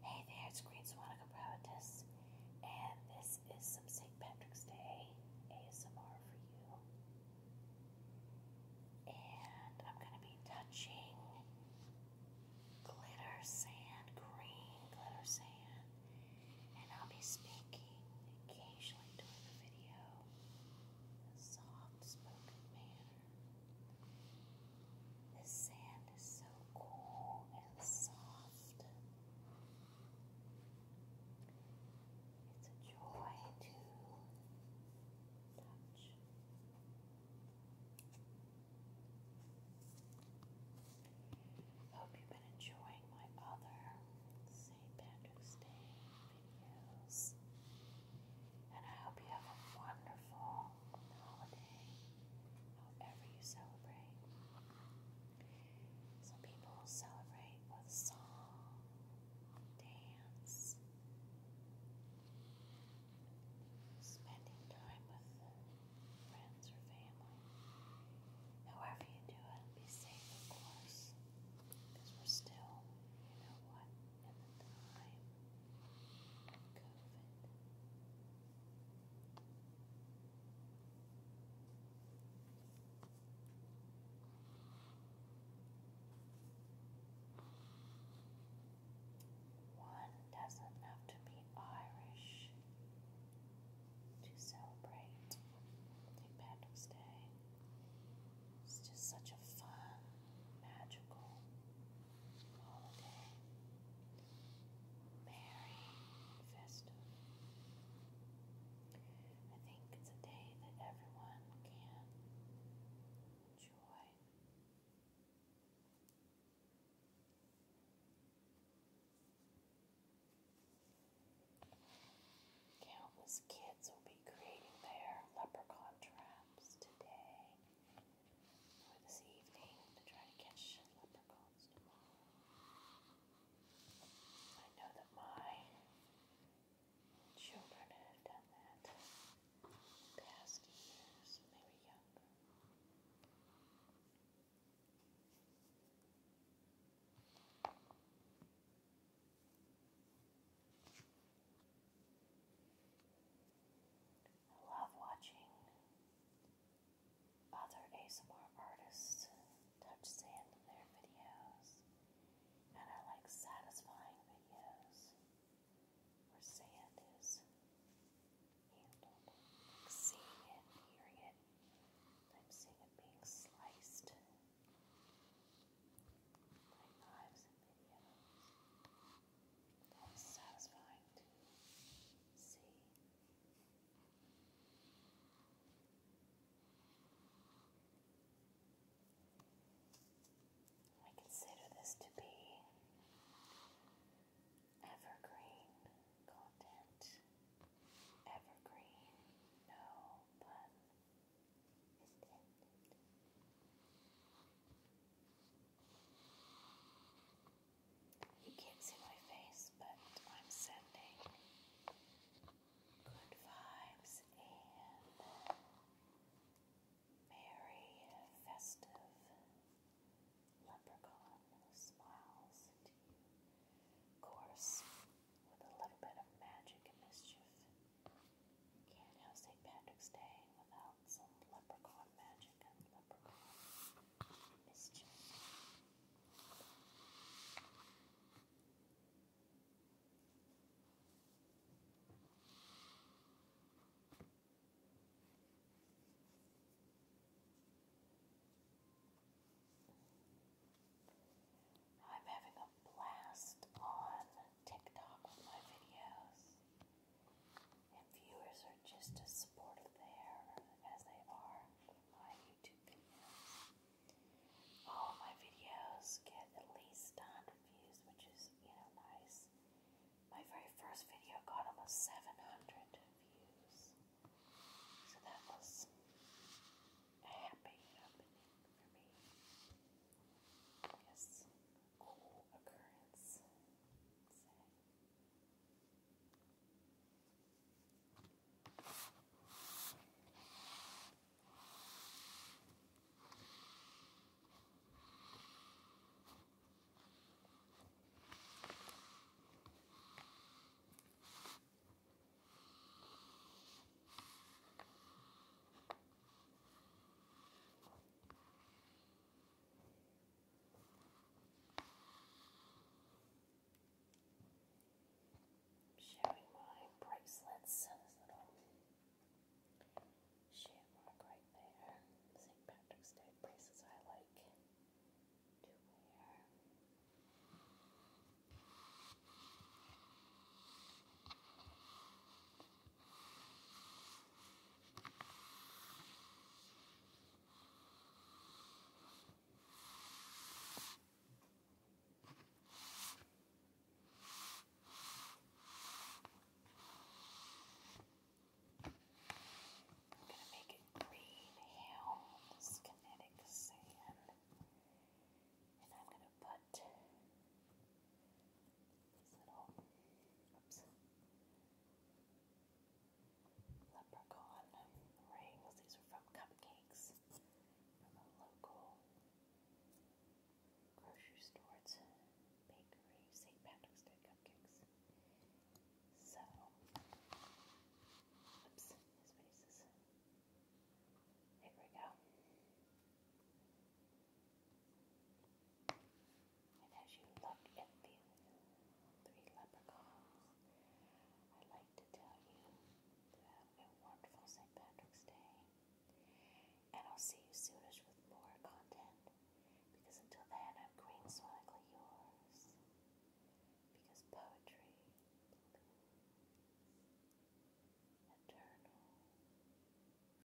Hey there, it's Green Swanica and this is some St. Patrick's Day ASMR for you. And I'm going to be touching glitter sand, green glitter sand, and I'll be speaking occasionally during the video. A soft spoken man. The sand is so cool and soft. It's a joy to touch. Hope you've been enjoying my other St. Patrick's Day videos. And I hope you have a wonderful holiday, however you celebrate. Some people celebrate with song, dance, spending time with friends or family. However you do it, be safe, of course, because we're still, you know what, one doesn't have to be Irish to celebrate St. Patrick's Day. It's just such a fun, magical holiday, merry festive. I think it's a day that everyone can enjoy. Countless kids will be creating their leprechaun traps today this evening to try to catch leprechauns I know that my children have done that past years when they were younger. I love watching other ASMR artists touch sand in their videos, and I like satisfying videos where sand is handled. Like hearing it, I'm seeing it being sliced by knives and videos satisfying to I consider this to be evergreen content. Evergreen, no pun intended. You can't see my face, but I'm sending good vibes and merry, festive leprechaun smiles to you. Of course, with a little bit of magic and mischief. You can't have St. Patrick's Day without some leprechaun magic and leprechaun mischief. I'm having a blast on TikTok with my videos. If viewers are just as supportive there as they are with my YouTube videos, all my videos get at least 100 views, which is, you know, nice. My very first video got almost 700 views, so that was a happy happening for me. Yes, cool occurrence. Showing my bracelets, those little shamrock right there. St. Patrick's Day bracelets I like to wear. I'm going to make it green hail with this kinetic sand. And I'm going to put this little oops, leprechaun rings. These are from cupcakes from a local grocery store. It's a bakery, St. Patrick's Day cupcakes. So, oops, his face is. Here we go. And as you look at these three leprechauns, I'd like to tell you to have a wonderful St. Patrick's Day. And I'll see you soonish with more content. Because until then, I'm green swaggly Because poetry, eternal.